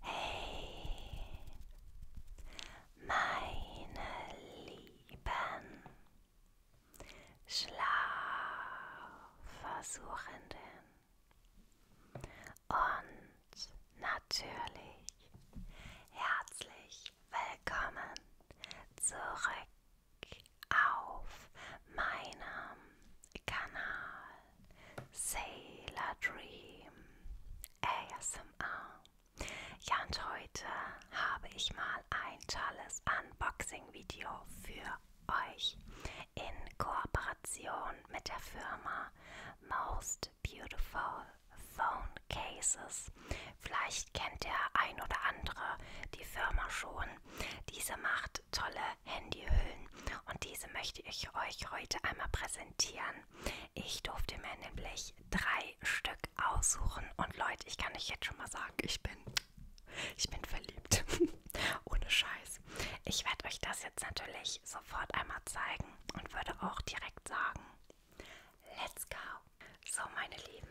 Hey, meine Lieben, Schlafversuchenden und natürlich herzlich willkommen zurück auf meinem Kanal Sailor Dream ASMR. Ja, und heute habe ich mal ein tolles Unboxing-Video für euch in Kooperation mit der Firma Most Beautiful Phone Cases. Vielleicht kennt der ein oder andere die Firma schon. Diese macht tolle Handyhüllen und diese möchte ich euch heute einmal präsentieren. Ich durfte mir nämlich drei Stück aussuchen und Leute, ich kann euch jetzt schon mal sagen, ich bin, ich bin verliebt. Ohne Scheiß. Ich werde euch das jetzt natürlich sofort einmal zeigen und würde auch direkt sagen, Let's go! So, meine Lieben,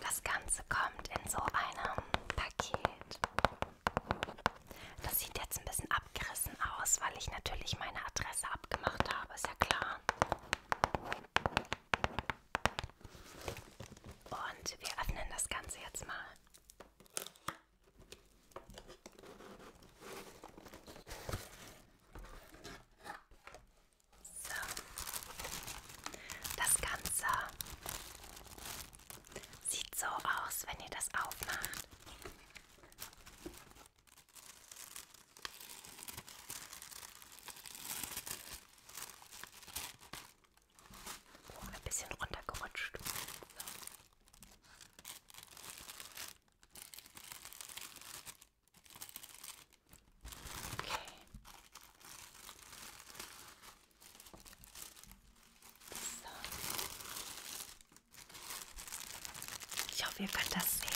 das Ganze kommt in so einem Paket. Das sieht jetzt ein bisschen abgerissen aus, weil ich natürlich meine Adresse abgemacht habe, ist ja klar. Und wir öffnen das Ganze jetzt mal. So. Das Ganze sieht so aus, wenn ihr das aufmacht. Oh, ein bisschen runtergerutscht. So. Okay. So. Ich hoffe, ihr könnt das sehen.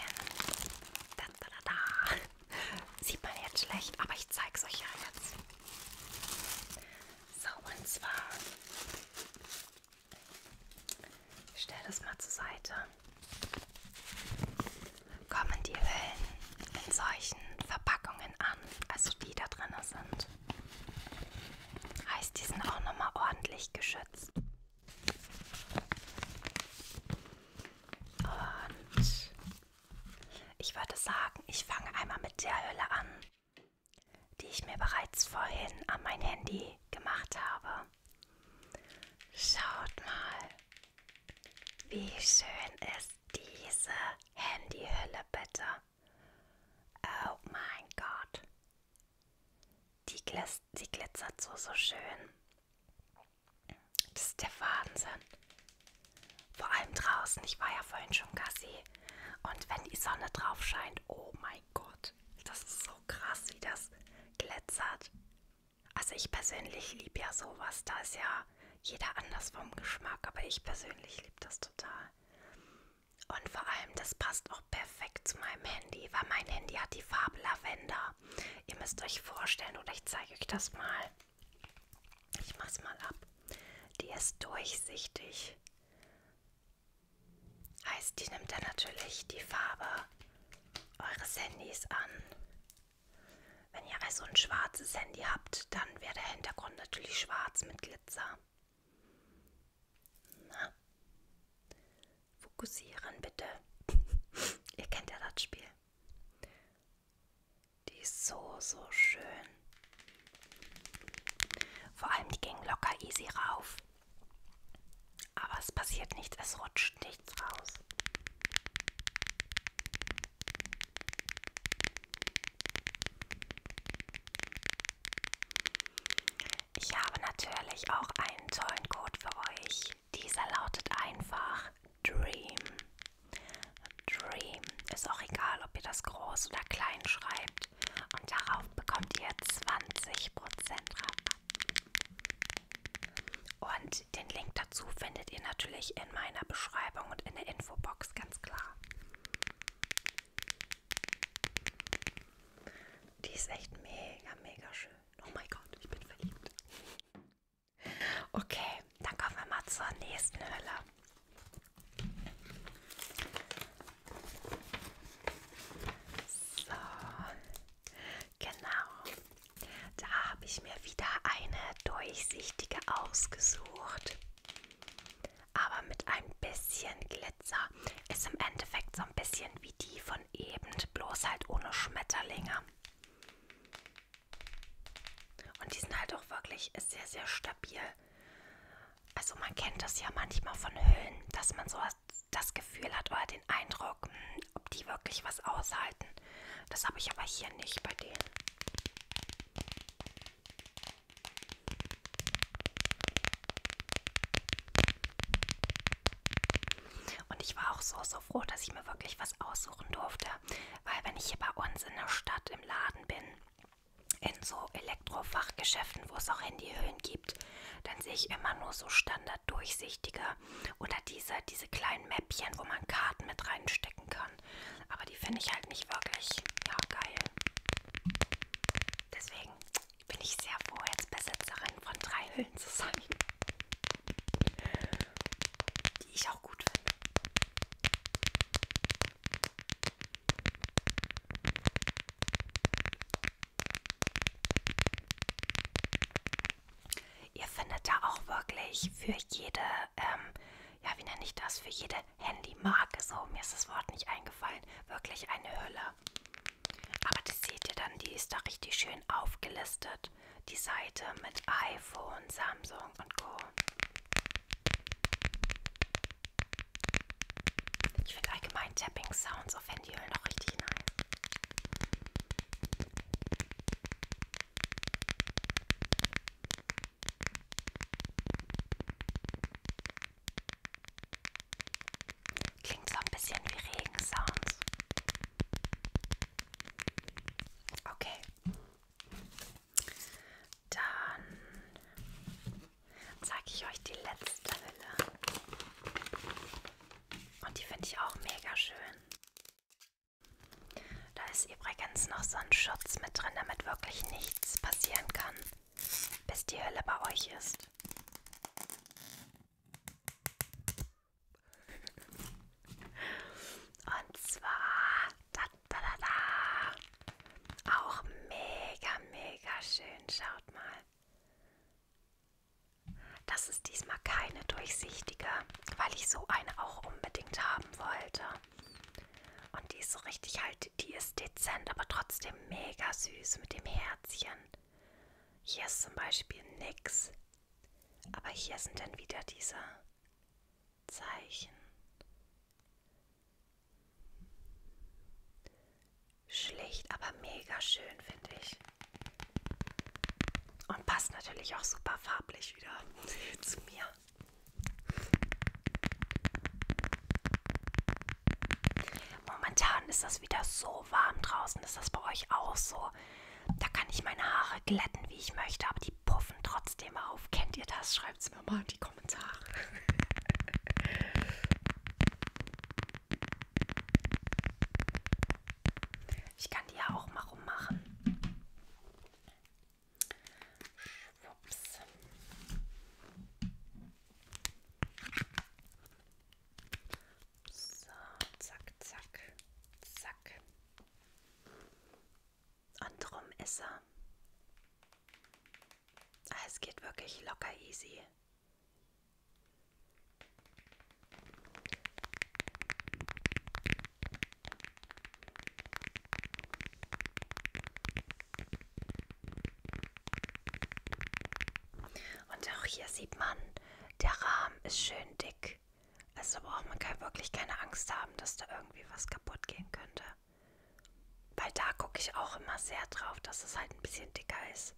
Da, da, da, da. Sieht man jetzt schlecht, aber ich zeige es euch ja jetzt. So, und zwar ich stell das mal zur Seite. Kommen die Hüllen in solchen Verpackungen an, also die da drin sind. Heißt, die sind auch nochmal ordentlich geschützt. Und ich würde sagen, ich fange einmal mit der Hülle an die ich mir bereits vorhin an mein Handy gemacht habe. Schaut mal, wie schön ist diese Handyhülle bitte. Oh mein Gott. Die, gliss, die glitzert so, so schön. Das ist der Wahnsinn. Vor allem draußen. Ich war ja vorhin schon Gassi. Und wenn die Sonne drauf scheint, oh mein Gott und das ist so krass, wie das glitzert. Also ich persönlich liebe ja sowas, da ist ja jeder anders vom Geschmack, aber ich persönlich liebe das total. Und vor allem, das passt auch perfekt zu meinem Handy, weil mein Handy hat die Farbe Lavender. Ihr müsst euch vorstellen, oder ich zeige euch das mal. Ich mach's mal ab. Die ist durchsichtig. Heißt, die nimmt dann natürlich die Farbe eures Handys an. Wenn ihr also ein schwarzes Handy habt, dann wäre der Hintergrund natürlich schwarz mit Glitzer. Na. Fokussieren bitte. ihr kennt ja das Spiel. Die ist so, so schön. Vor allem, die ging locker easy rauf. Aber es passiert nichts, es rutscht nichts raus. Ich habe natürlich auch einen tollen Code für euch. Dieser lautet einfach Dream. Dream. Ist auch egal, ob ihr das groß oder klein schreibt kauft. Und darauf bekommt ihr 20% Rabatt. Und den Link dazu findet ihr natürlich in meiner Beschreibung und in der Infobox, ganz klar. Die ist echt mega, mega schön. Oh mein Gott, ich bin verliebt. Okay, dann kommen wir mal zur nächsten Hölle. So, genau. Da habe ich mir wieder eine durchsichtige ausgesucht. Aber mit ein bisschen Glitzer. Ist im Endeffekt so ein bisschen wie die von eben, bloß halt ohne Schmetterlinge. Und die sind halt auch wirklich sehr, sehr stabil. Also man kennt das ja manchmal von Hüllen, dass man so das Gefühl hat oder den Eindruck, hm, ob die wirklich was aushalten. Das habe ich aber hier nicht bei denen. Und ich war auch so, so froh, dass ich mir wirklich was aussuchen durfte. Weil wenn ich hier bei uns in der Stadt im Laden bin, in so Elektrofachgeschäften, wo es auch Handyhüllen gibt, dann sehe ich immer nur so standard durchsichtige oder diese, diese kleinen Mäppchen, wo man Karten mit reinstecken kann. Aber die finde ich halt nicht wirklich ja, geil. Deswegen bin ich sehr froh, jetzt Besitzerin von drei Hüllen zu sein. Die ich auch gut finde. Ihr findet da auch wirklich für jede, ähm, ja wie nenne ich das, für jede Handymarke, so mir ist das Wort nicht eingefallen, wirklich eine Hülle. Aber das seht ihr dann, die ist da richtig schön aufgelistet, die Seite mit iPhone, Samsung und Co. Ich finde allgemein Tapping Sounds auf Handyhüllen halt noch richtig nice. Klingt so ein bisschen wie Regensounds. Okay. Dann zeige ich euch die letzte Hülle. Und die finde ich auch mega schön. Da ist übrigens noch so ein Schutz mit drin, damit wirklich nichts passieren kann, bis die Hülle bei euch ist. Und zwar da, da, da, da. Auch mega, mega schön. Schaut mal. Das ist diesmal keine durchsichtige, weil ich so eine auch unbedingt haben wollte. Und die ist so richtig halt, die ist dezent, aber trotzdem mega süß mit dem Herzchen. Hier ist zum Beispiel nix. Aber hier sind dann wieder diese Zeichen schlicht, aber mega schön, finde ich. Und passt natürlich auch super farblich wieder zu mir. Momentan ist das wieder so warm draußen. Ist das bei euch auch so? Da kann ich meine Haare glätten, wie ich möchte, aber die die puffen trotzdem auf. Kennt ihr das? Schreibt es mir mal in die Kommentare. Ich kann die ja auch mal rummachen. Schwupps. So, zack, zack, zack anderem Esser. Ah, es geht wirklich locker easy. Und auch hier sieht man, der Rahmen ist schön dick weg. Also braucht oh, man kann wirklich keine Angst haben, dass da irgendwie was kaputt gehen könnte. Weil da gucke ich auch immer sehr drauf, dass es halt ein bisschen dicker ist.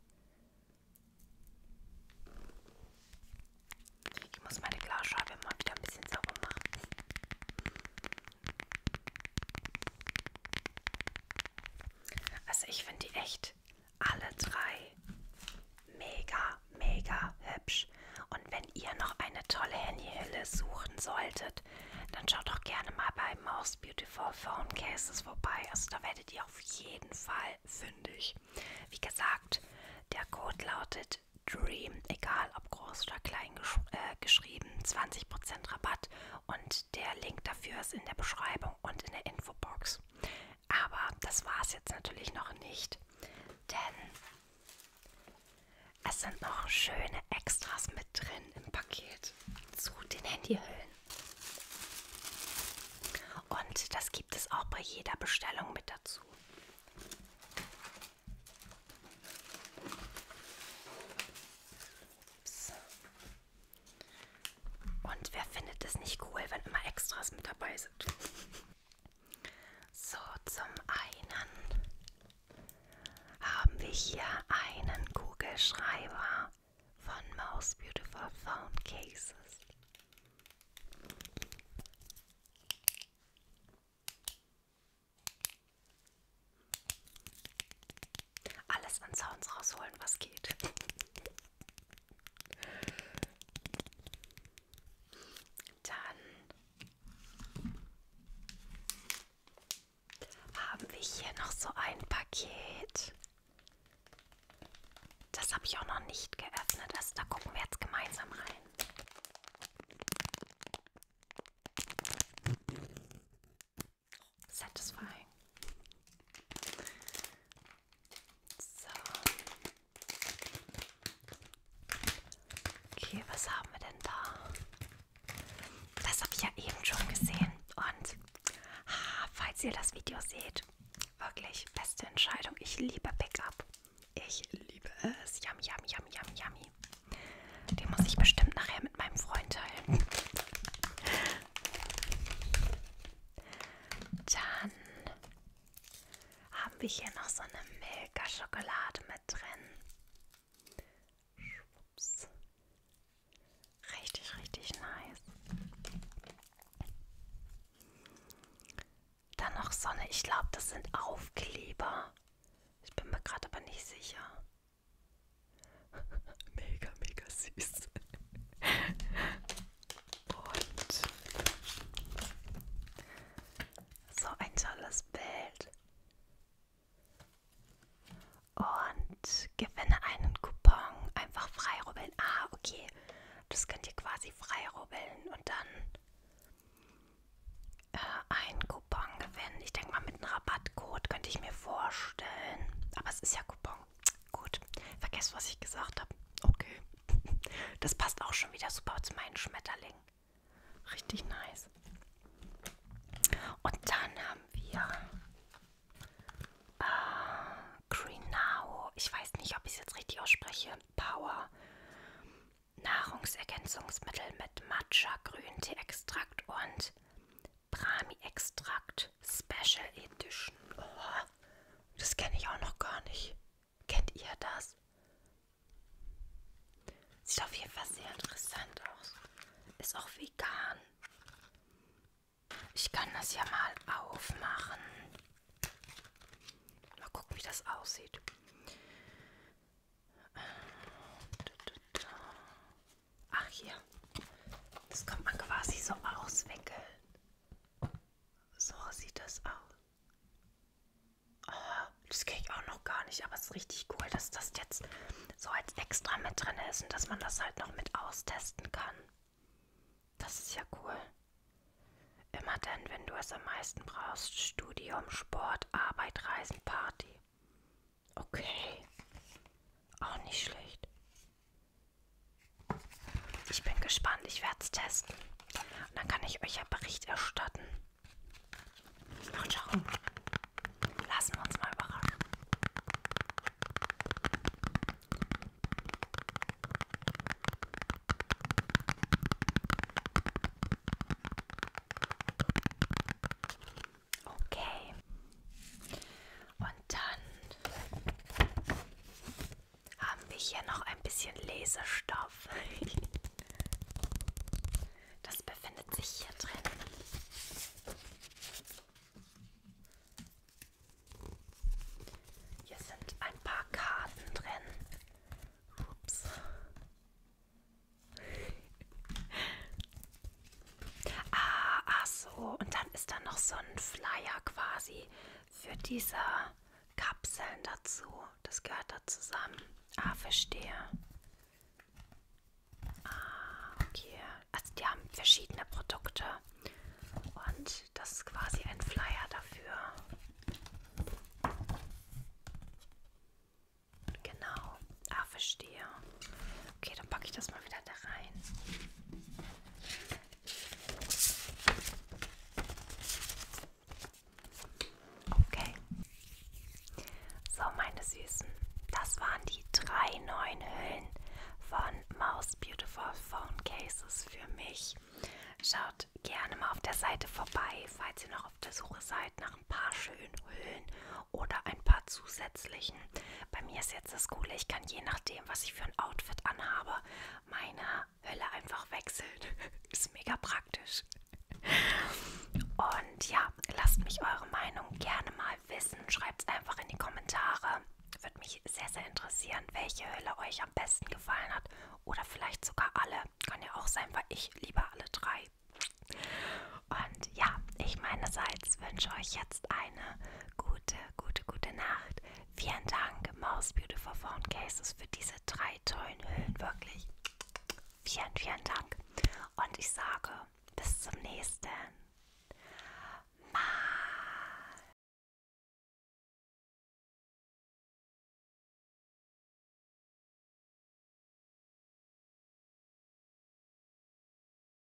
Ich muss meine Glasscheibe mal wieder ein bisschen sauber machen. Also ich finde die echt alle drei mega, mega hübsch. Und wenn ihr noch eine tolle Handyhülle suchen solltet, dann schaut doch gerne mal bei Most Beautiful Phone Cases vorbei. Also da werdet ihr auf jeden Fall fündig. Wie gesagt, der Code lautet Dream, egal ob groß oder klein gesch äh, geschrieben, 20% Rabatt und der Link dafür ist in der Beschreibung und in der Infobox. Aber das war es jetzt natürlich noch nicht, denn es sind noch schöne Extras mit drin im Paket zu den Handyhüllen. Und das gibt es auch bei jeder Bestellung mit dazu. Ups. Und wer findet es nicht cool, wenn immer Extras mit dabei sind? So, zum einen haben wir hier einen Kugelschreiber von Most Beautiful Phone Cases. Alles an Sounds rausholen, was geht. Dann haben wir hier noch so ein Paket. Das habe ich auch noch nicht geöffnet. Also da gucken wir jetzt gemeinsam rein. Satisfying. So. Okay, was haben wir denn da? Das habe ich ja eben schon gesehen. Und ah, falls ihr das Video seht, wirklich beste Entscheidung. Ich liebe Pickup. Ich liebe es. Yummy, yummy, yummy, yummy, yummy. Den muss ich bestimmt nachher mit meinem Freund teilen. Dann haben wir hier noch so eine Milka-Schokolade mit drin. Schwupps. Richtig, richtig nice. Dann noch Sonne. Ich glaube, das sind Aufkleber. Ich bin mir gerade aber nicht sicher. mega, mega süß. Und so ein tolles Bild. Und gewinne einen Coupon. Einfach freirubbeln. Ah, okay. Das könnt ihr quasi freirubbeln und dann äh, einen Coupon gewinnen. Ich denke mal, mit einem Rabattcode könnte ich mir vorstellen. Aber es ist ja Coupon, Gut, vergesst, was ich gesagt habe. Okay. Das passt auch schon wieder super zu meinen Schmetterlingen. Richtig nice. Und dann haben wir äh, Greenau. Ich weiß nicht, ob ich es jetzt richtig ausspreche. Power. Nahrungsergänzungsmittel mit Matcha, Grüntee-Extrakt und Brahmi-Extrakt Special Edition. Oh das kenne ich auch noch gar nicht. Kennt ihr das? Sieht auf jeden Fall sehr interessant aus. Ist auch vegan. Ich kann das ja mal aufmachen. Mal gucken, wie das aussieht. Ach hier. Das kann man quasi so auswickeln. So sieht das aus. Oh, das kenne ich auch noch gar nicht, aber es ist richtig cool, dass das jetzt so als extra mit drin ist und dass man das halt noch mit austesten kann. Das ist ja cool. Immer dann, wenn du es am meisten brauchst. Studium, Sport, Arbeit, Reisen, Party. Okay. Auch nicht schlecht. Ich bin gespannt, ich werde es testen. Und dann kann ich euch ja Bericht erstatten. Und schauen. Lassen wir uns mal überraschen. Okay. Und dann haben wir hier noch ein bisschen Lesestoff. Das befindet sich hier drin. Hier sind ein paar Karten drin. Ups. Ah, Ass so, und dann ist da noch so ein Flyer quasi für diese Kapseln dazu. Das gehört da zusammen. Ah, verstehe. Ah, okay. Also die haben verschiedene Produkte. Und das ist quasi ein Flyer dafür. Genau. Ah, verstehe. Okay, dann packe ich das mal wieder da rein. Okay. So, meine Süßen, das waren die drei neuen Hüllen von Mouse Beautiful Phone Cases für mich. Schaut gerne mal auf der Seite vorbei, falls ihr noch auf der Suche seid nach ein paar schönen Hüllen oder ein paar zusätzlichen. Bei mir ist jetzt das Coole. Ich kann je nachdem, was ich für ein Outfit anhabe, meine Hölle einfach wechseln. Ist mega praktisch. Und ja, lasst mich eure Meinung gerne mal wissen. Schreibt es einfach in die Kommentare. Würde mich sehr, sehr interessieren, welche Hölle euch am besten gefallen hat. Oder vielleicht sogar alle. Kann ja auch sein, weil ich liebe alle drei. Und ja, ich meinerseits wünsche euch jetzt eine gute gute, gute Nacht. Vielen Dank, Mouse Beautiful Phone Cases, für diese drei tollen Hüllen. Wirklich. Vielen, vielen Dank. Und ich sage, bis zum nächsten Mal.